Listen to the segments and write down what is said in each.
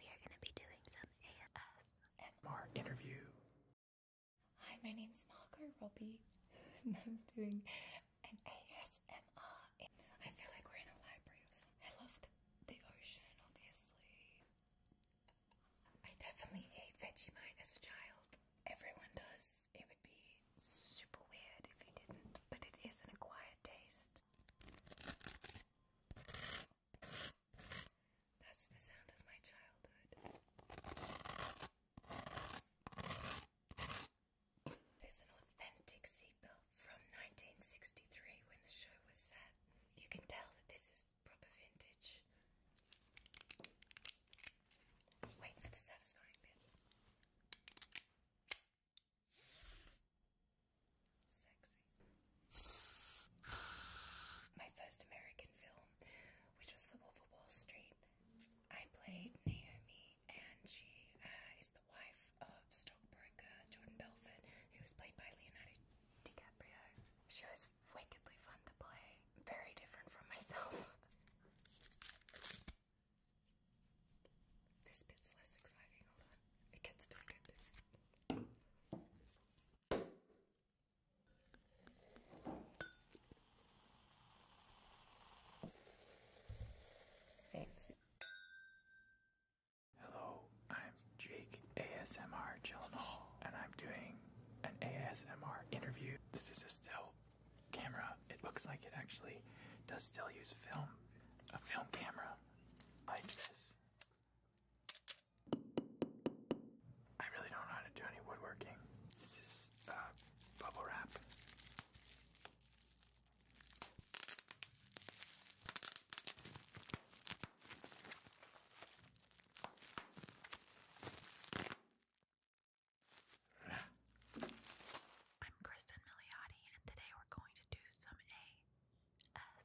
We are going to be doing some ASMR interview. Hi, my name's Margot Robbie, and I'm doing an ASMR. I feel like we're in a library. I love the ocean, obviously. I definitely ate Vegemite as a child. Everyone does. It would be super weird if you didn't, but it is an acquired taste. That's the sound of my childhood. There's an authentic seatbelt from 1963 when the show was set. You can tell that this is proper vintage. Wait for the satisfying bit. Sexy. My first American film, which was The Wolf of Wall Street, I played Naomi, and she uh, is the wife of stockbroker Jordan Belfort, who was played by Leonardo DiCaprio. She was wickedly fun to play, very different from myself. This bit's less exciting, hold on. It gets darker. Fancy. Hello, I'm Jake ASMR Gyllenhaal, and I'm doing an ASMR interview. This is a still camera. It looks like it actually does still use film, a film camera like this. I really don't know how to do any woodworking. This is uh, bubble wrap. I'm Kristen Miliotti, and today we're going to do some A S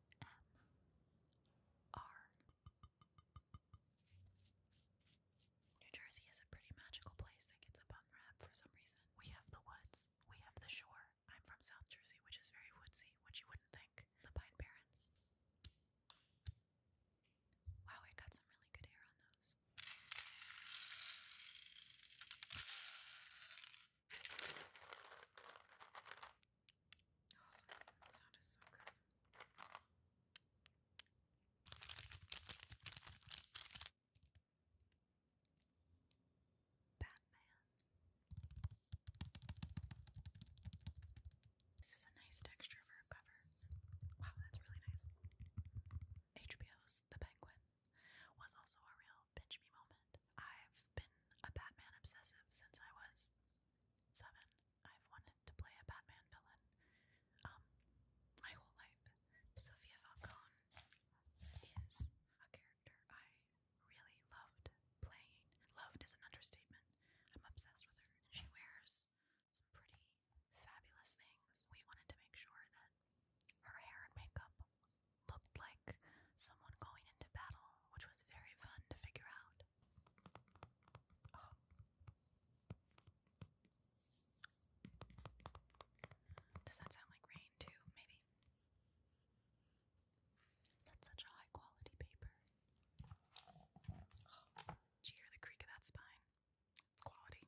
New Jersey is a pretty magical place that gets a bum rap for some reason. We have the woods, we have the shore. I'm from South Jersey, which is very woodsy, which you wouldn't think. The Pine Barrens. Wow, I got some really good hair on those. Oh, that sound is so good. Batman. This is a nice texture for a Wow, that's really nice. HBO's The Penguin was also a real bitch me moment. I've been a Batman obsessive since I was seven. I've wanted to play a Batman villain um, my whole life. Sophia Falcone is a character I really loved playing. Loved is an understatement. I'm obsessed with her. She wears some pretty fabulous things. We wanted to make sure that her hair and makeup looked like someone going into battle, which was very fun to figure out. Oh. Does that sound like rain too? Maybe. That's such a high quality paper. Oh. you hear the creak of that spine? It's quality.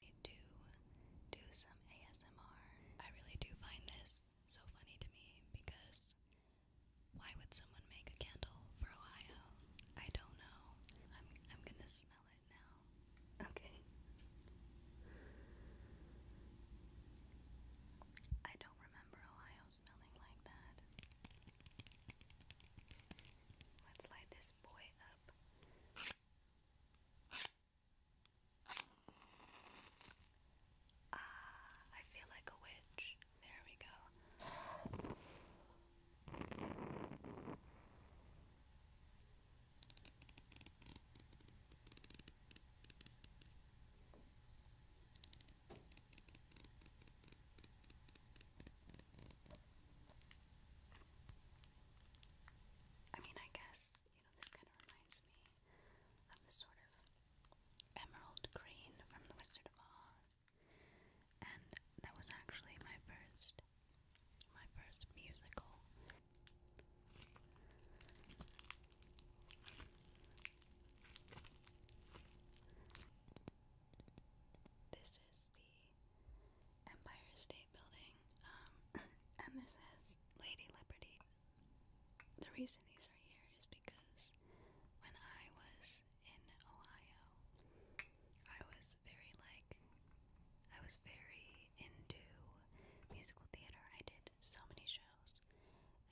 to do some ASMR. I really do find this so funny to me because why would someone make a candle for Ohio? I don't know. I'm I'm gonna smell it now. Okay. I don't remember Ohio smelling like that. Let's light this boy up. Ah, I feel like a witch. There we go. I mean, I guess, you know, this kind of reminds me of the sort of emerald green from The Wizard of Oz. And that was actually my first, my first musical. This is the Empire State Building, and this is Lady Liberty. The reason these are here is because when I was in Ohio, I was very like, I was very into musical theater. I did so many shows,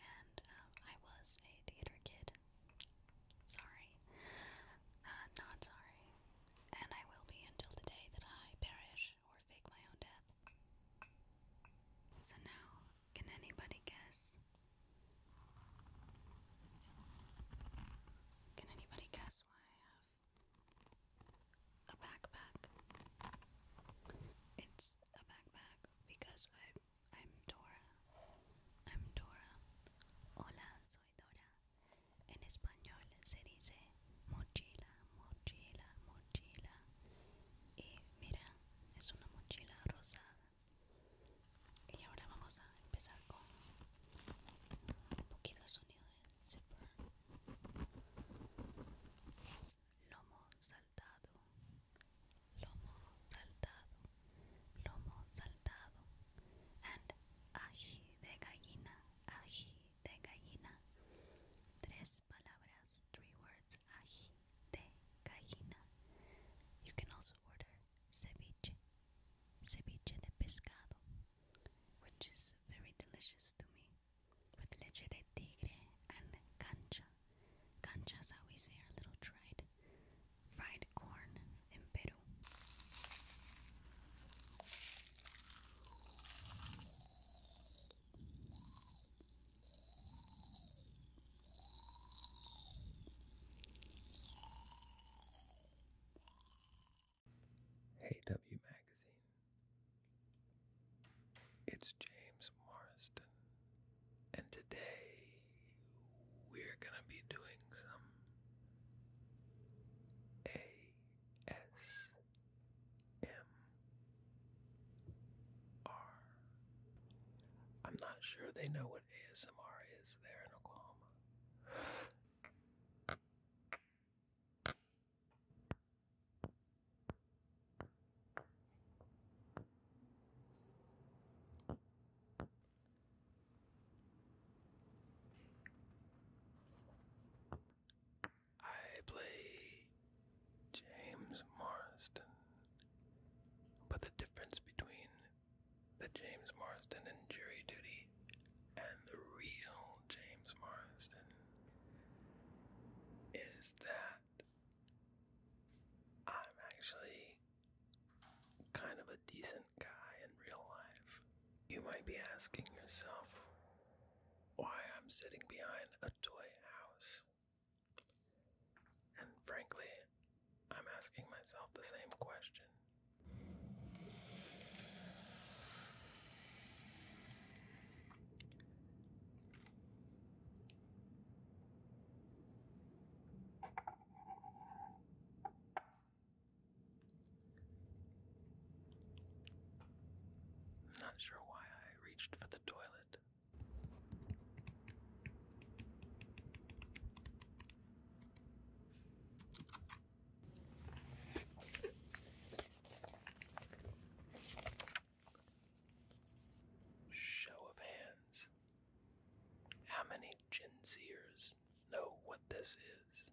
and um, I was a theater kid. Sorry. Uh, not sorry. And I will be until the day that I perish fake my own death. So now, can anybody guess? Can anybody guess why I have a backpack? It's a backpack because I I'm Dora. I'm Dora. Hola, soy Dora. En español se dice mochila, mochila, mochila. Y mira, es una mochila rosada. Y ahora vamos a empezar con un poquito de sonido de zipper. Lomo saltado, lomo saltado, lomo saltado. And ají de gallina, ají de gallina. Tres palabras, three words, ají de gallina. You can also order ceviche, ceviche de pescado, which is very delicious to me, with leche de tigre and cancha. Cancha is how we say our little dried, fried corn in Peru. Hey W Magazine. It's James Marston, and today we're going to be doing some ASMR ASMR. I'm not sure they know what ASMR is there in Oklahoma. I play James Marsden. But the difference between the James Marsden in jury duty and the real James Marsden is that I'm actually kind of a decent guy in real life. You might be asking yourself, why I'm sitting behind a toy house. And frankly, I'm asking myself the same question i not sure why I reached for the toilet. Show of hands. How many Gen know what this is?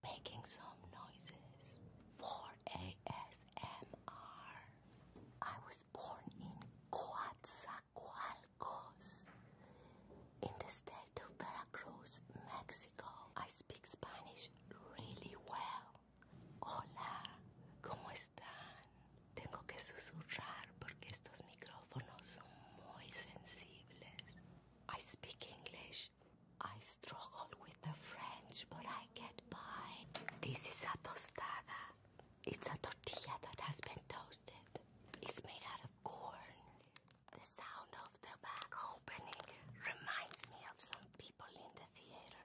making some noises for ASMR. I was born in Coatzacoalcos in the state of Veracruz, Mexico. I speak Spanish really well. Hola, ¿cómo están? Tengo que susurrar porque estos micrófonos son muy sensibles. I speak English I struggle with the French, but I get by. This is a tostada. It's a tortilla that has been toasted. It's made out of corn. The sound of the bag opening reminds me of some people in the theater.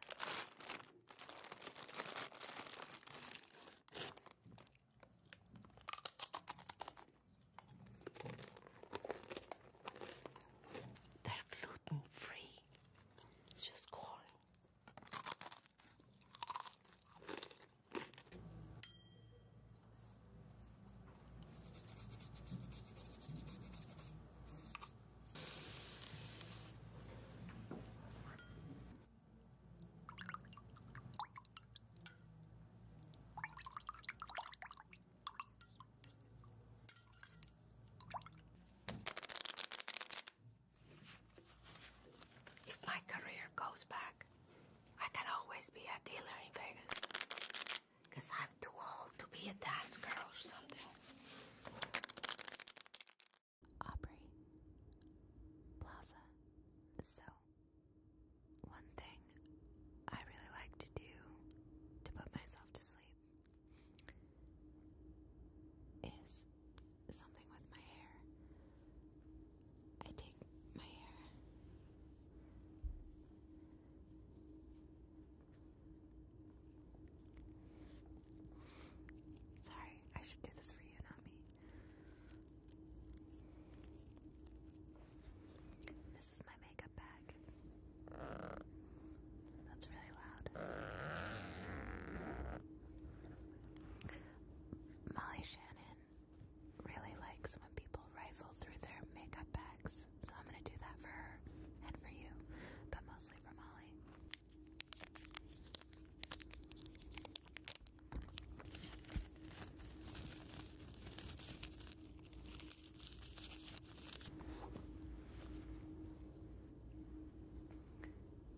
They're gluten free. It's just corn. If my career goes back, I can always be a dealer in Vegas. Because I'm too old to be a dance girl or something. Aubrey Plaza. So, one thing I really like to do to put myself to sleep is something with my hair. I take my hair. Sorry, I should do this for you, not me. This is my makeup bag. That's really loud. Molly Shannon really likes when people rifle through their makeup bags, so I'm gonna do that for her and for you, but mostly for Molly.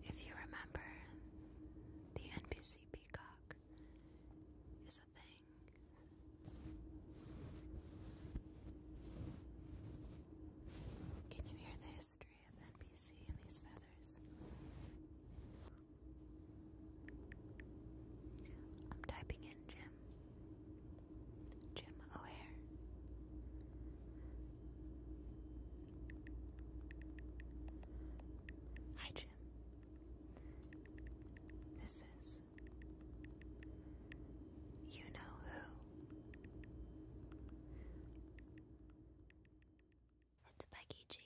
If you remember, the NPC peacock is a thing. Can you hear the history of NBC in these feathers? I'm typing in Jim. Jim O'Hare. Hi, Jim. This is You Know Who. It's Becky G,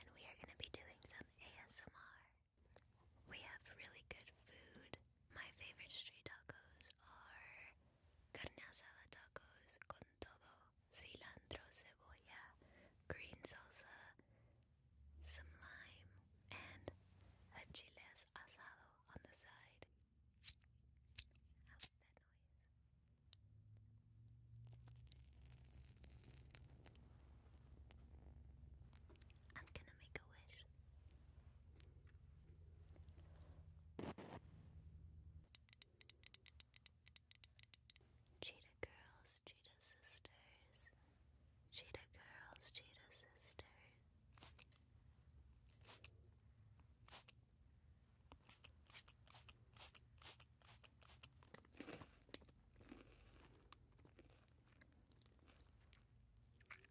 and we are going to be doing some ASMR. We have really good food. My favorite street tacos are carne asada tacos con todo, cilantro, cebolla, green salsa, some lime, and a chiles asado on the side. I'm gonna make a wish. Cheetah Girls, Cheetah Sisters, Cheetah Girls, Cheetah Sisters.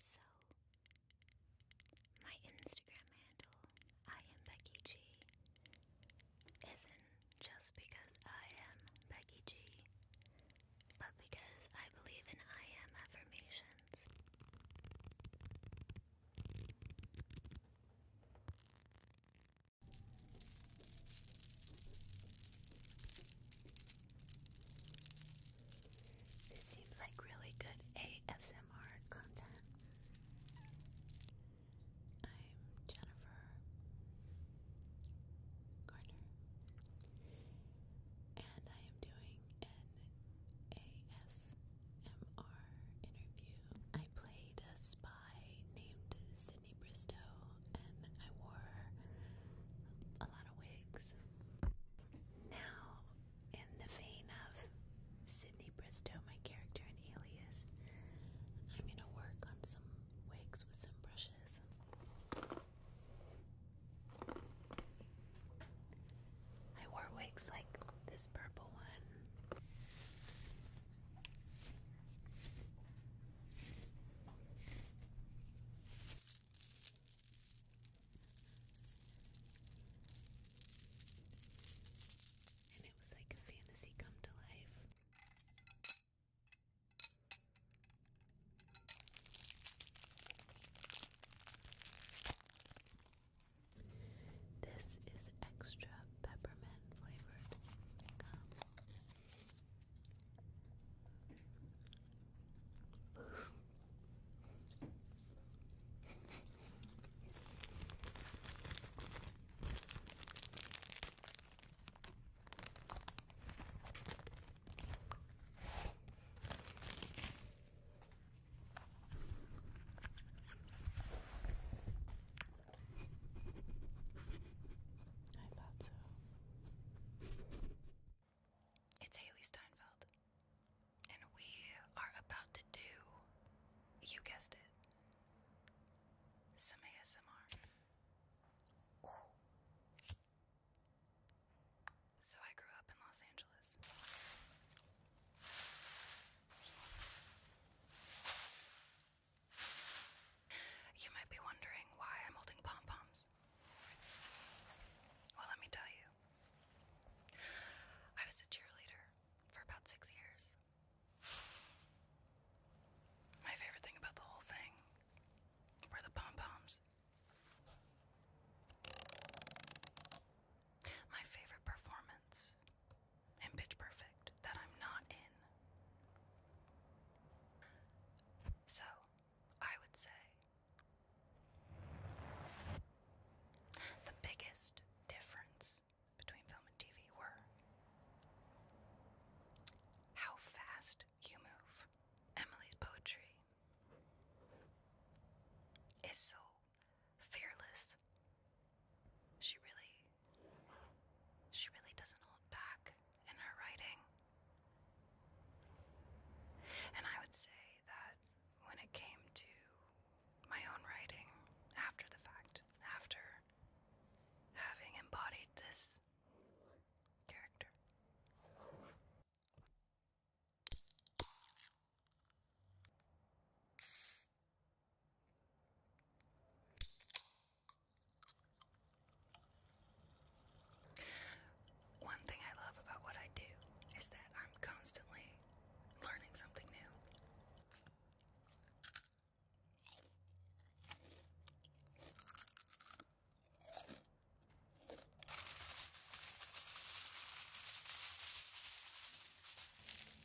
So, my Instagram handle, I am Becky G, isn't just because I am Becky G, but because I believe in I am affirmations. This seems like really good ASMR content. I'm Jennifer Garner, and I am doing an ASMR MR interview. I played a spy named Sydney Bristow and I wore a lot of wigs. Now, in the vein of Sydney Bristow, my character in Alias, I'm gonna work on some wigs with some brushes. I wore wigs like this purple one. And it was like a fantasy come to life. This is extra peppermint flavored I thought so. It's Haley Steinfeld. And we are about to do, you guessed it, some ASMR. So I grew up in Los Angeles. You might be wondering why I'm holding pom poms. Well, let me tell you. I was a cheerleader for about six years. My favorite thing about the whole thing were the pom poms. My favorite performance in Pitch Perfect that I'm not in. So, I would say the biggest difference between film and TV were how fast you move. Emily's poetry is so fearless. She really, she really doesn't hold back in her writing. And I would say that when it came to my own writing after the fact, after having embodied this character, one thing I love about what I do is that I'm constantly learning something new.